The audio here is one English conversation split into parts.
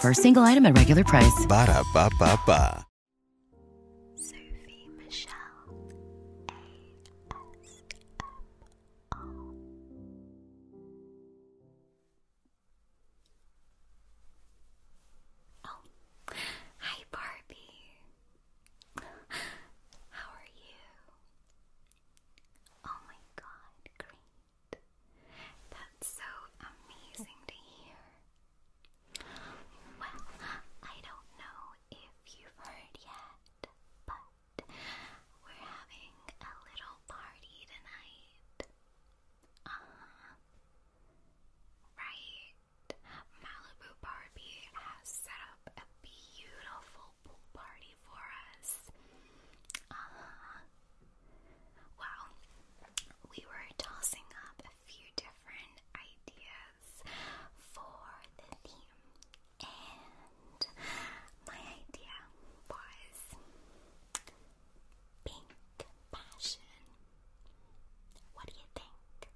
For a single item at regular price. Ba da ba ba hi Barbie. How are you? Oh my God, that's so amazing to hear. Well, I don't know if you've heard yet, but we're having a little party tonight. Uh -huh. Right. Malibu Barbie has set up a beautiful pool party for us. Uh -huh. Wow, we were tossing up a few different ideas for the theme, and my idea was pink passion. What do you think?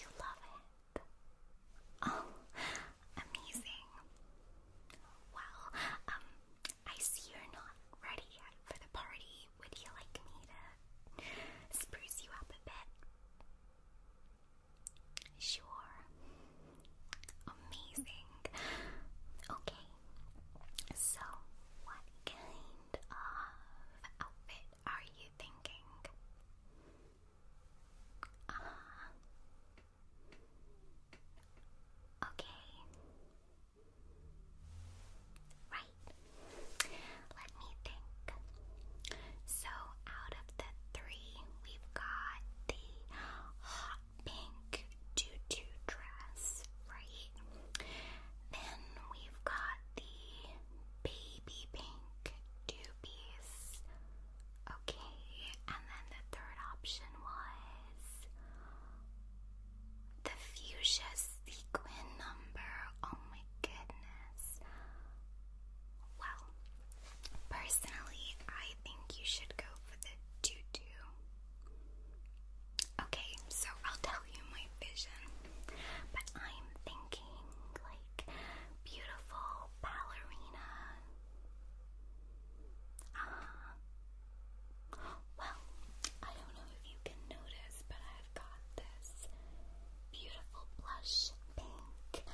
You love it. Oh, Amazing. Well, um, I see you're not ready yet for the party. Would you like me to spruce you up a bit? Sure. Amazing. Okay. So, what kind of outfit are you thinking? Uh, Okay. Right. Let me think. So, out of the three, we've got the hot pink tutu dress, right? Then we've got the baby pink two Okay, and then the third option was the fuchsia sequin number. Oh my goodness. Well, personally, I think you should go for the tutu. Okay, so I'll tell you my vision, but I'm thinking like beautiful ballerina. Uh, well, I don't know if you can notice, but I've got this beautiful blush pink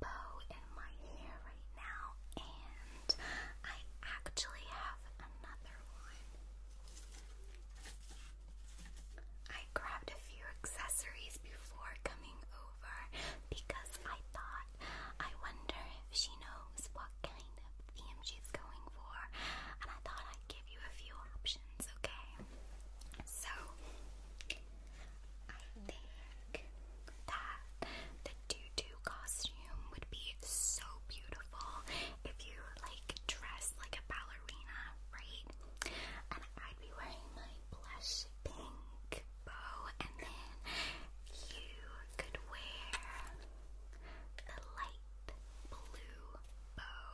bow in my hair right now, and I actually have another one. I grabbed a few accessories before coming over because I thought I wonder if she knows what kind of theme she's going for, and I thought I'd give you a few options, okay? So, I think that the tutu costume would be so beautiful if you like dress like a ballerina, right? And I'd be wearing my blush pink bow, and then you could wear the light blue bow,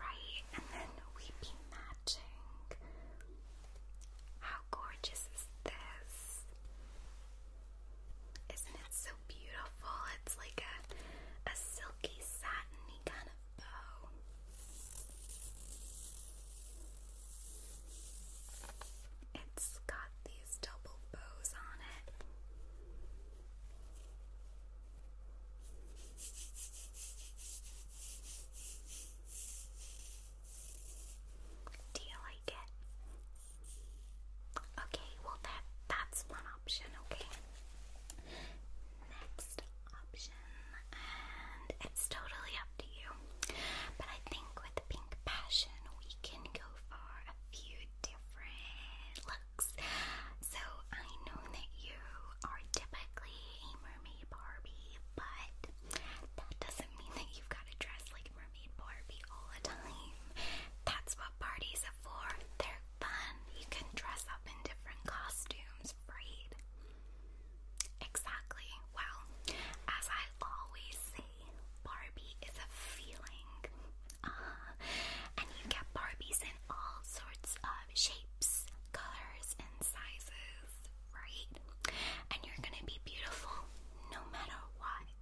right? And then we'd be matching. How gorgeous is this? Isn't it so beautiful? It's like a, a silky satiny kind of bow. It's got these double bows on it. Do you like it? Okay, well that that's one option, okay. Next option and it's totally up to you. But I think with pink passion, we can go for a few different looks. So I know that you are typically mermaid Barbie, but that doesn't mean that you've got to dress like mermaid Barbie all the time. That's what parties are for. They're fun. You can dress up in different costumes, right? Exactly. Well, as I always say, Barbie is a feeling. Uh-huh. and you get Barbies in all sorts of shapes, colors, and sizes, right? And you're gonna be beautiful no matter what.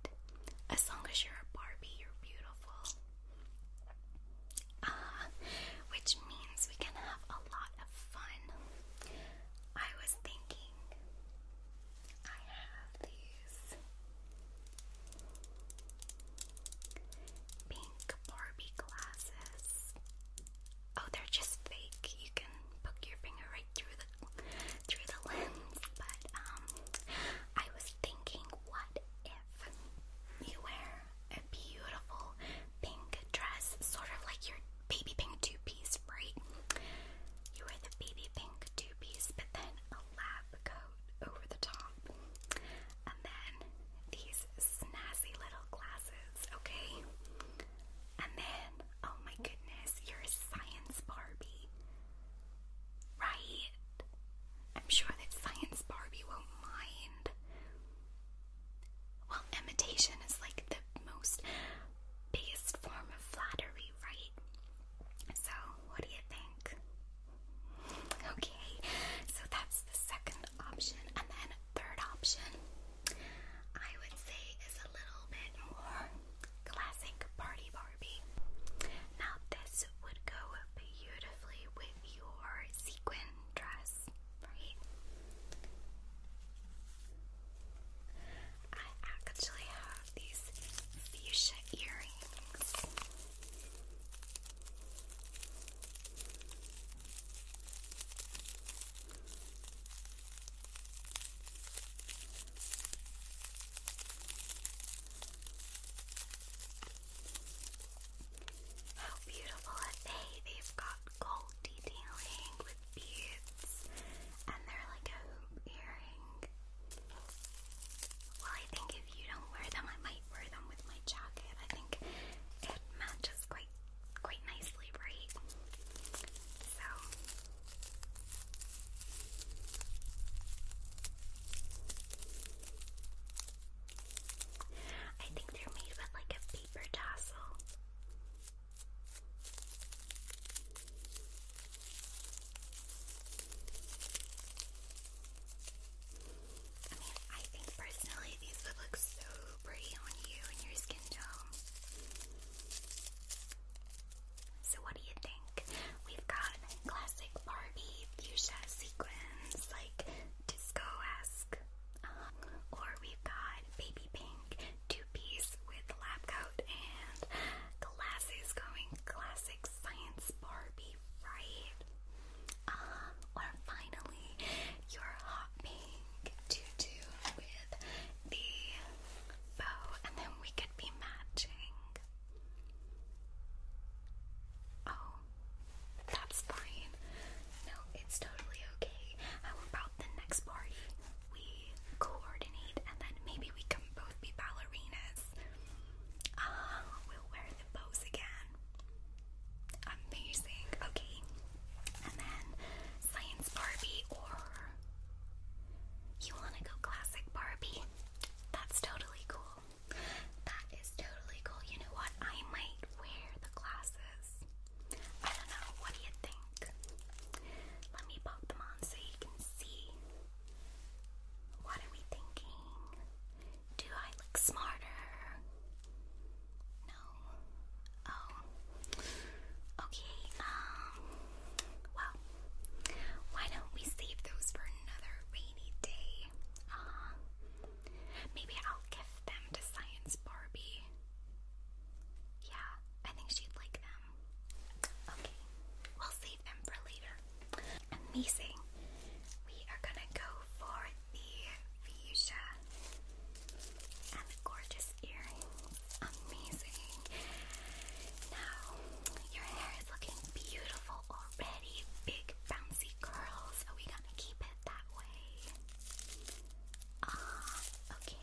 As long as you're a Barbie, you're beautiful. Uh, which means we can have a lot of fun. I was thinking I have these pink Barbie glasses. Oh, they're just fake. You can poke your finger right through the through the lens. But um, I was thinking, what if you wear a beautiful pink dress, sort of like your baby pink two piece, right? You wear the baby pink two two piece, but then a lab coat over the top. And then these snazzy little glasses, okay? And then, oh my goodness, you science Barbie. Right? I'm sure that science Barbie won't mind. Well, imitation is like the most biggest form of flattery right. So, what do you think? Okay, so that's the second option. And then, third option, I would say, is a little bit more classic Party Barbie. Now, this would go beautifully with your sequin dress, right? I actually have these fuchsia earrings. How beautiful are they? They've got gold detailing with beads, and they're like a hoop earring. Well, I think if you don't wear them, I might wear them with my jacket. I think it matches quite quite nicely, right? So I think they're made with like a paper tassel. I think personally these would look so pretty on you and your skin tone. So what do you think? We've got classic Barbie fuchsia sequins, like disco-esque. Um, or we've got baby pink two-piece with lab coat and glasses going classic science Barbie, right? Um, or finally your hot pink tutu with the bow, and then we could be matching. Oh, that's fine. No, it's totally okay. How about the next party? we coordinate and then maybe we can both be ballerinas. Ah, we'll wear the bows again. Amazing. Okay. And then science Barbie or you wanna go classic Barbie? That's totally cool. That is totally cool. You know what? I might wear the glasses. I don't know. What do you think? Let me pop them on so you can see. What are we thinking? Do I look smarter? No. Oh. Okay, um, well, why don't we save those for another rainy day? Uh, maybe I'll give them to Science Barbie. Yeah, I think she'd like them. Okay, we'll save them for later. Amazing. We are gonna go for the fuchsia and the gorgeous earrings. Amazing. Now, your hair is looking beautiful already. Big bouncy curls. Are we gonna keep it that way? Ah, okay.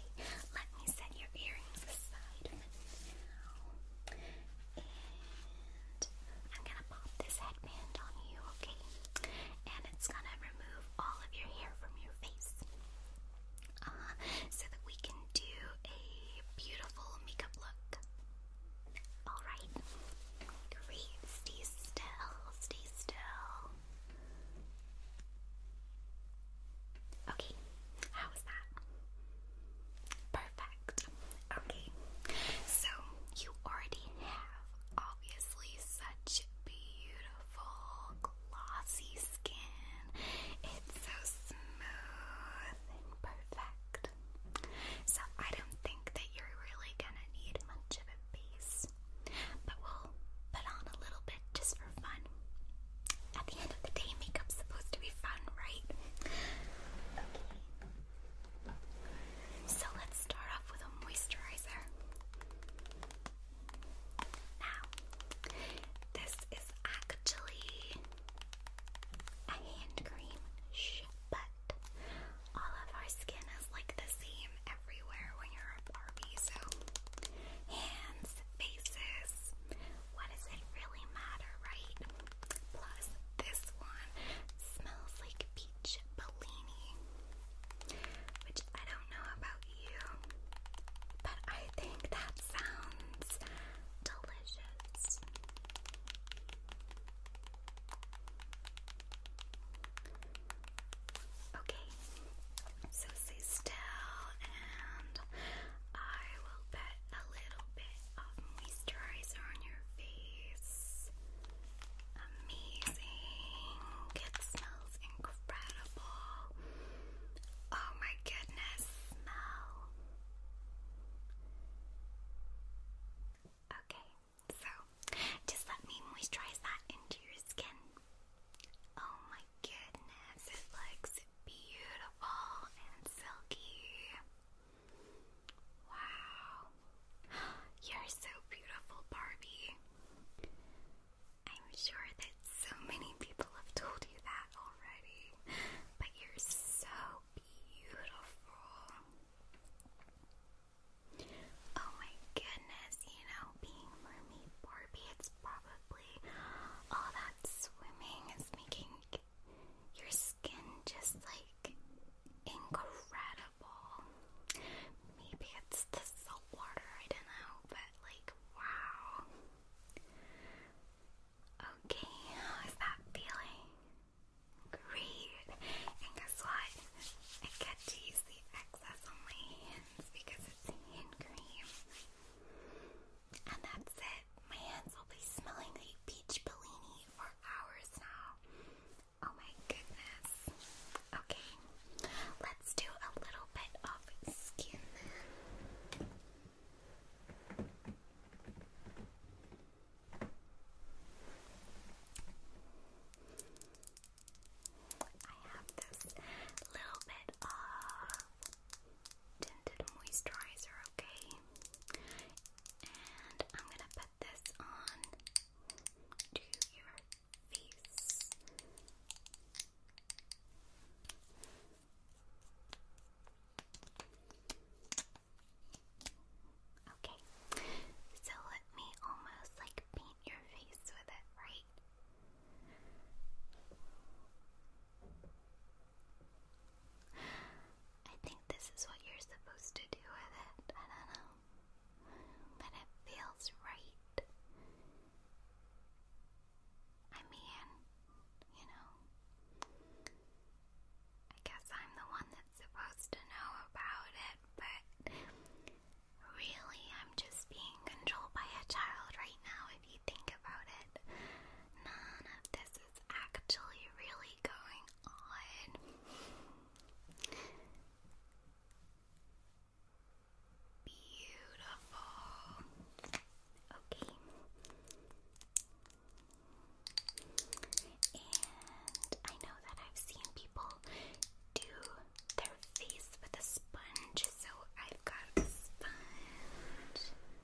Let me set your earrings aside and I'm gonna pop this headband on you, okay? And it's gonna remove all of your hair from your face. Uh-huh. so that we can do a beautiful makeup look. Alright. Great. Stay still. Stay still. Okay, how was that? Perfect. Okay, so you already have obviously such beautiful, glossy skin. It's so smooth and perfect. So I don't think that you're really gonna need much of a base, but we'll put on a little bit just for fun. At the end of the day, makeup's supposed to be fun, right? Okay. So let's start off with a moisturizer. Now, this is actually a hand cream, but all of our skin is like the same everywhere when you're a Barbie, so hands, faces, what does it really matter, right? Plus, this one smells like peach Bellini, which I don't know about you, but I think that sounds delicious. Okay, so stay still and I will bet a little bit moisturizer on your face. Amazing. It smells incredible. Oh my goodness, smell. Okay, so just let me moisturize that into your skin. Oh my goodness, it looks beautiful and silky. Wow. You're so beautiful, Barbie. I'm sure that so many people have told you that already, but you're so beautiful. Oh my goodness, you know, being Mermaid Barbie, it's probably all that swimming is making your skin just like incredible. Maybe it's the salt water, I don't know, but like wow. Okay, how is that feeling? Great. And guess what? I get to use the excess on my hands because it's hand cream. And that's it. My hands will be smelling the peach bellini for hours now. Oh my goodness. Okay, let's do a little bit of skin I have this little bit of tinted moisturizer, okay? And I'm gonna put this on to your face. Okay, so let me almost like paint your face with it, right? I think this is what you're supposed to do with it. I don't know. But it feels right. I mean, you know, I guess I'm the one that's supposed to know about it, but really, I'm just being controlled by a child right now if you think about it. None of this is actually really going on. Beautiful. Okay. And I know that I've seen people do their face with a sponge, so I've got a sponge.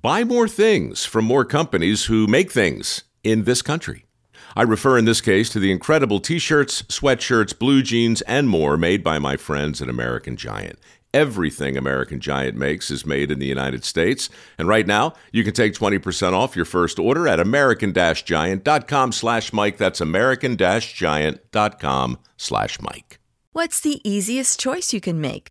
buy more things from more companies who make things in this country. I refer in this case to the incredible t shirts, sweatshirts, blue jeans, and more made by my friends at American Giant. Everything American Giant makes is made in the United States. And right now, you can take 20% off your first order at american-giant.com slash Mike. That's american-giant.com slash Mike. What's the easiest choice you can make?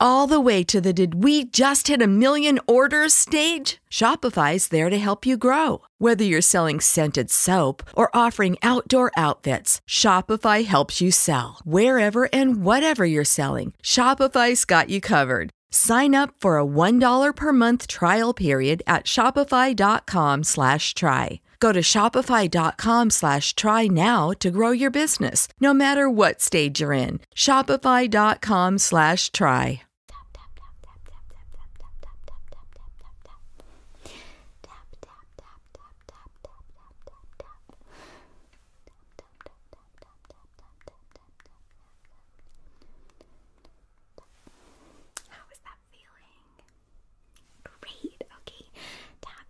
all the way to the did we just hit a million orders stage? Shopify is there to help you grow. Whether you're selling scented soap or offering outdoor outfits, Shopify helps you sell. Wherever and whatever you're selling, Shopify's got you covered. Sign up for a $1 per month trial period at shopify.com slash try. Go to shopify.com slash try now to grow your business, no matter what stage you're in. Shopify.com slash try.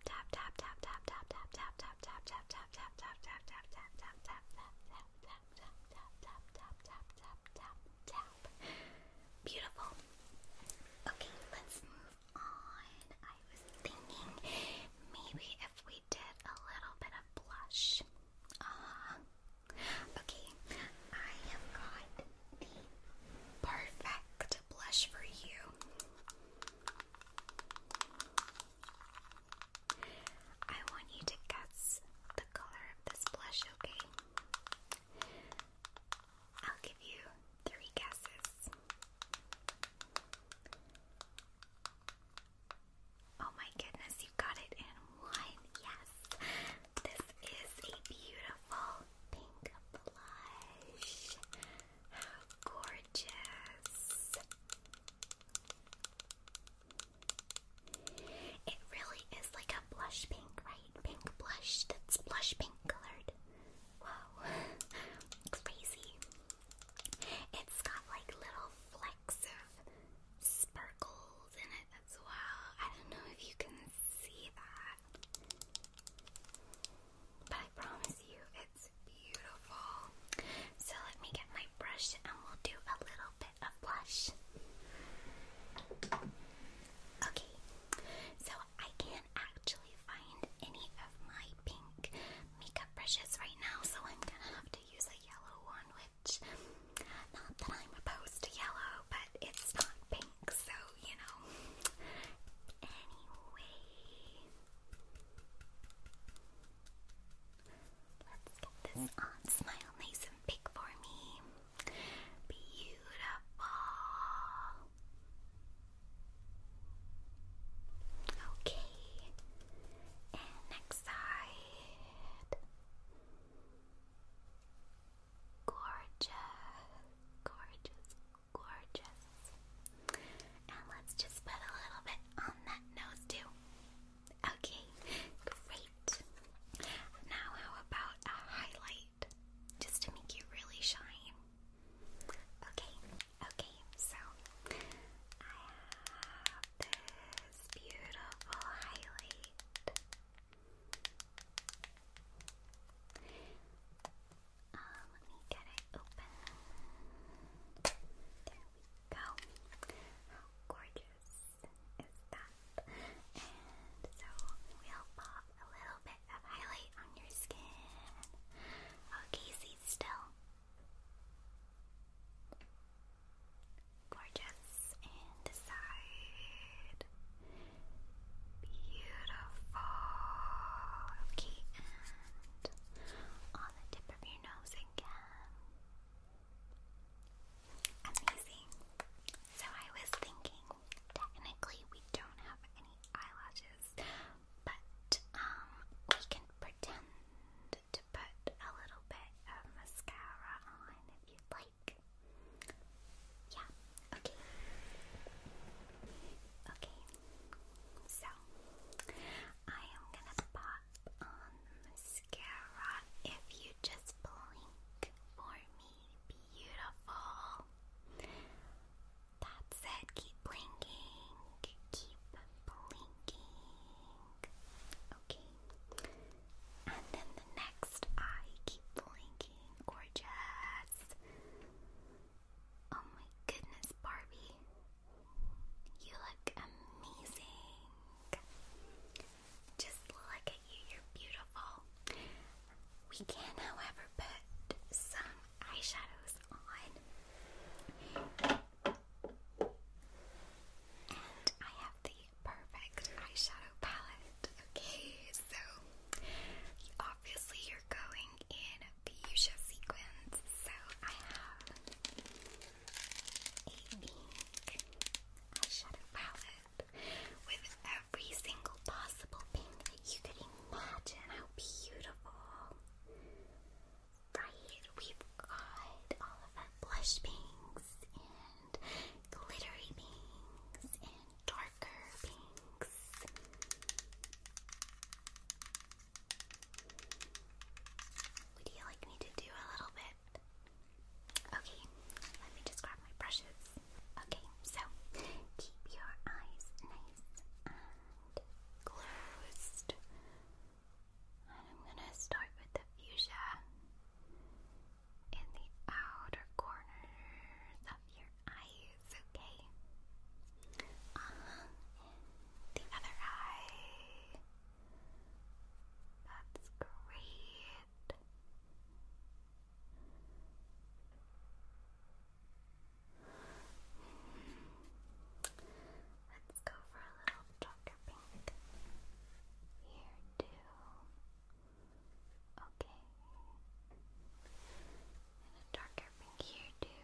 tap tap tap tap tap tap tap tap tap tap tap tap tap tap tap tap tap tap tap tap tap tap tap tap tap tap tap beautiful okay let's move on I was thinking maybe if we did a little bit of blush uh, okay I have got the perfect blush for you I want you to guess the color of this blush, okay? I'll give you three guesses. Oh my goodness, you got it in one. Yes. This is a beautiful pink blush. How gorgeous! It really is like a blush pink, right? Pink blush that's blush pink colored. Wow, crazy. It's got like little flecks of sparkles in it as well. I don't know if you can see that. But I promise you, it's beautiful. So let me get my brush and we'll do a little bit of blush. Okay, so I can't actually find any of my pink makeup brushes right now, so I'm gonna have to use a yellow one, which, not that I'm opposed to yellow, but it's not pink, so you know. Anyway, Let's get this on. Smile nice and for me. Beautiful. Okay. next side. Gorgeous, gorgeous, gorgeous let's just put a little bit on that nose too. Okay, great. Now, how about a highlight just to make you really shine? Okay, okay, so I have this beautiful highlight. Uh, let me get it open. There we go. How gorgeous is that? And so we'll pop a little bit of highlight on your skin. Okay, oh, still. Gorgeous. And this side. Beautiful. Okay, and on the tip Amazing. So I was thinking, technically we don't have any eyelashes, but um, we can pretend to put a little bit of mascara on if you'd like. Yeah. Okay. Okay. So I am gonna pop on mascara if you just blink for me. Beautiful. That's it. Keep blinking. Keep blinking. And then the next eye. Keep blinking. Gorgeous. Oh my goodness, Barbie. You look amazing. Just look at you, you're beautiful. We can, however, put some eyeshadows on. And I have the perfect eyeshadow palette. Okay, so obviously you're going in fuchsia sequins. So I have a pink eyeshadow palette with every single possible pink that you could imagine. How beautiful! Right, we've got all of our blush pinks and glittery pinks and darker pinks. Would you like me to do a little bit? Okay, let me just grab my brushes. Okay, so keep your eyes nice and closed. And I'm gonna start with the fuchsia in the outer corners of your eyes, okay? Uh-huh. the other eye. That's great. Let's go for a little darker pink here too. Okay. a darker pink here too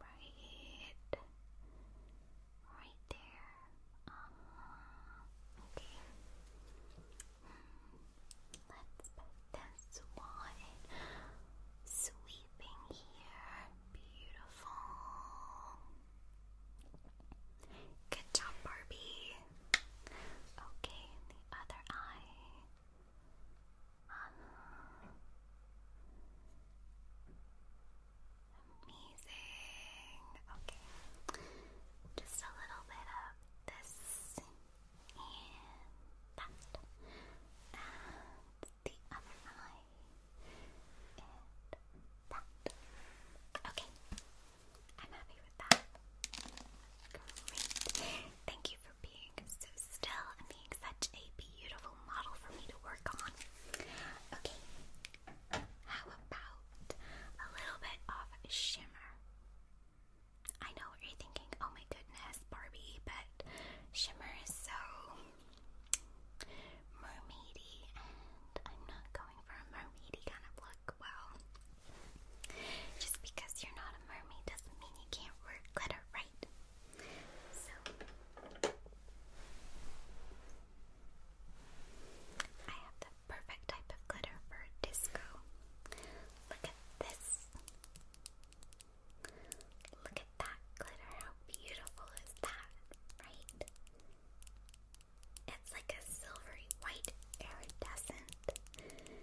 right, right there. okay. Let's put this one sweeping here. Beautiful. Good job, Barbie. Okay, the other eye. Um, Amazing. Okay. Just a little bit of this and that. the other eye. And that. Okay. I'm happy with that. Great. Thank you for being so still and being such a beautiful model for me to work on. Okay, how about a little bit of shimmer? I know what you're thinking, oh my goodness, Barbie, but shimmer is so mermaidy, and I'm not going for a mermaidy kind of look. Well, just because you're not a mermaid doesn't mean you can't work glitter, right? So I have the perfect type of glitter for disco. Look at this. Look at that glitter. How beautiful is that, right? It's like a silvery white iridescent glitter.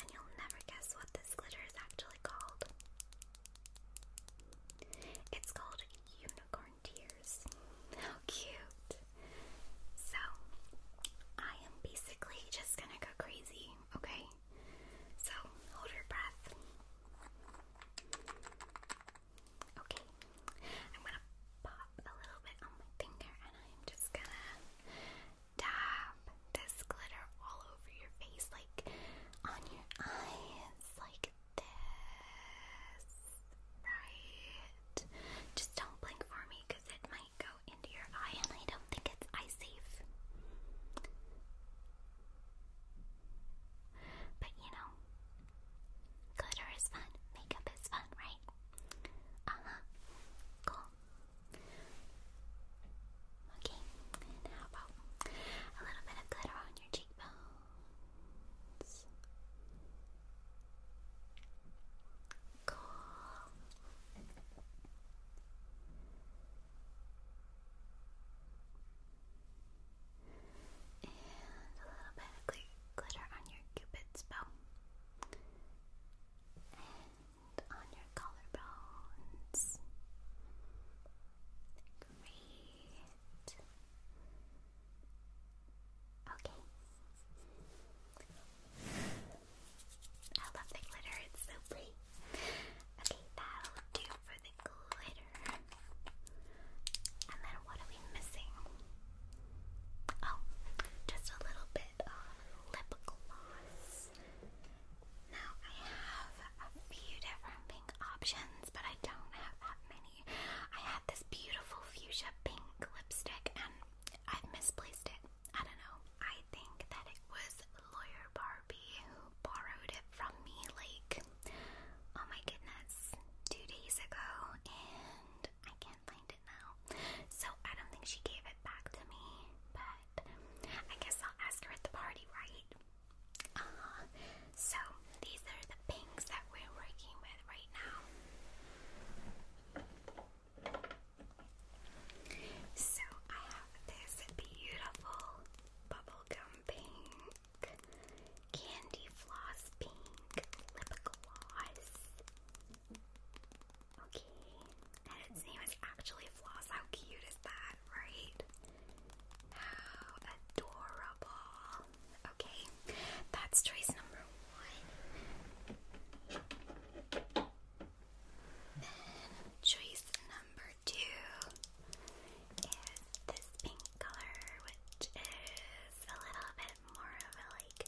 And you'll never guess what this glitter is actually called. It's called Unicorn Tears. How cute! So, I am basically just gonna go crazy, okay? So, hold your breath. Okay, I'm gonna pop a little bit on my finger and I'm just gonna dab this glitter all over your face, like on your eyes, like this. Right? Just don't blink for me because it might go into your eye, and I don't think it's eye safe. But you know, glitter is fun, makeup is fun, right? Uh huh. Okay, and how about a little bit of glitter on your cheekbones? Cool. And a little bit of glitter on your cupid's bow on your collarbones. Great. Okay. I love the glitter, it's so pretty. Okay, that'll do for the glitter. And then what are we missing? Oh, just a little bit of lip gloss. Now I have a few different pink options, but I don't have that many. I had this beautiful fuchsia pink lipstick and I've misplaced it. I don't know. I think that it was Lawyer Barbie who borrowed it from me like oh my goodness, two days ago and I can't find it now. So I don't think she gave it back to me, but I guess I'll ask her at the party, right? Uh-huh. So these are the pinks that we're working with right now. So I have this beautiful bubblegum pink, candy floss pink, lip gloss. Okay. And its name is actually Floss. How cute is that, right? How adorable. Okay, that's choice number one. Then choice number two is this pink color, which is a little bit more of a like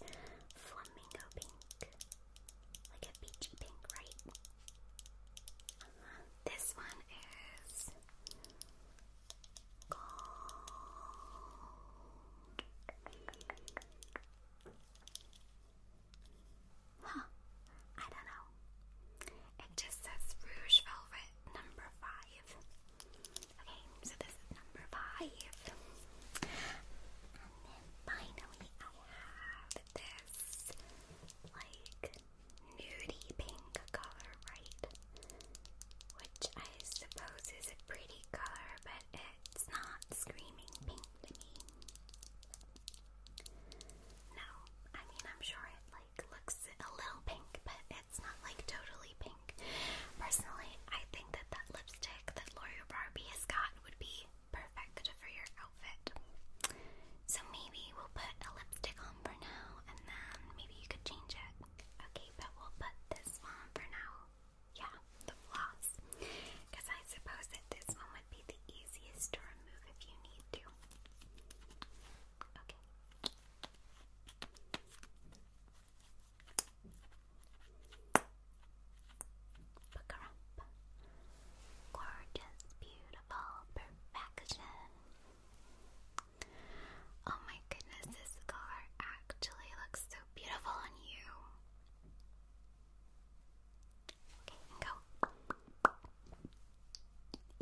flamingo pink like a peachy pink, right? Uh-huh. this one is gold. Huh? I don't know. It just says Rouge Velvet number five. Okay, so this is number five. And then finally, I have this like nudie pink color, right? Which I suppose is a pretty color, but it's not screaming pink to me. No, I mean I'm sure it like looks a little pink, but it's not like totally pink. Personally, I think that that lipstick that Lawyer Barbie has got would be perfect for your outfit. So maybe we'll put a lipstick on for now, and then maybe you could change it. Okay, but we'll put this one for now. Yeah, the floss. Because I suppose that this one would be the easiest to remove if you need to. Okay. Pacarump. Gorgeous, beautiful, perfection. Oh my goodness, this color actually looks so beautiful on you. Okay, go.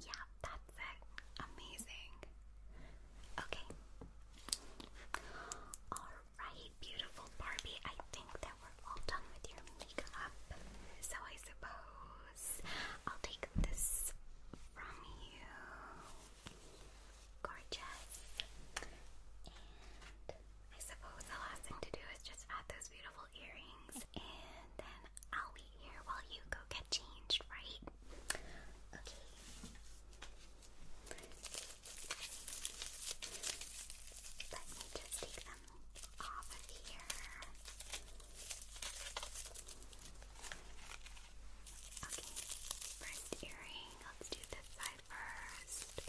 Yeah, that's it. Amazing. Okay. Alright, beautiful Barbie. I think that all done with your makeup. So I suppose I'll take this from you. Gorgeous. And I suppose the last thing to do is just add those beautiful earrings. And then I'll be here while you go get changed, right? Okay. Let me just take them off of here. Okay, first earring. Let's do this side first.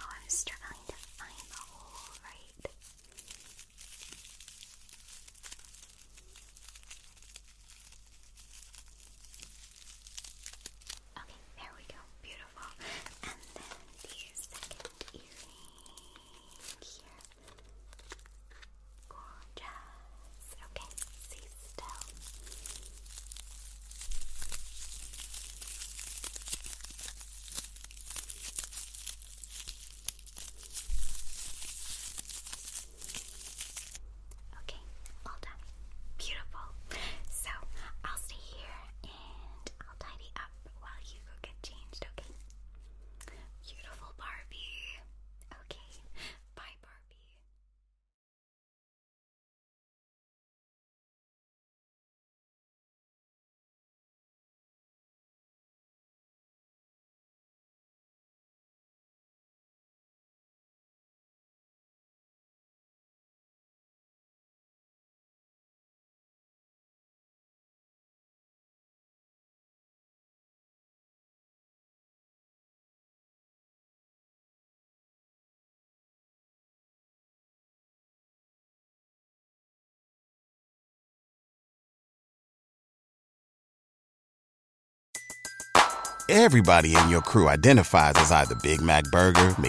Oh, I'm struggling to find the hole, right? Okay, there we go. Beautiful beautiful. And then the second earring here. Gorgeous. Okay, stay still. Okay, all done. Beautiful. So I'll stay here and I'll tidy up while you go get changed, okay? Beautiful Barbie. Okay, bye, Barbie. Everybody in your crew identifies as either Big Mac Burger,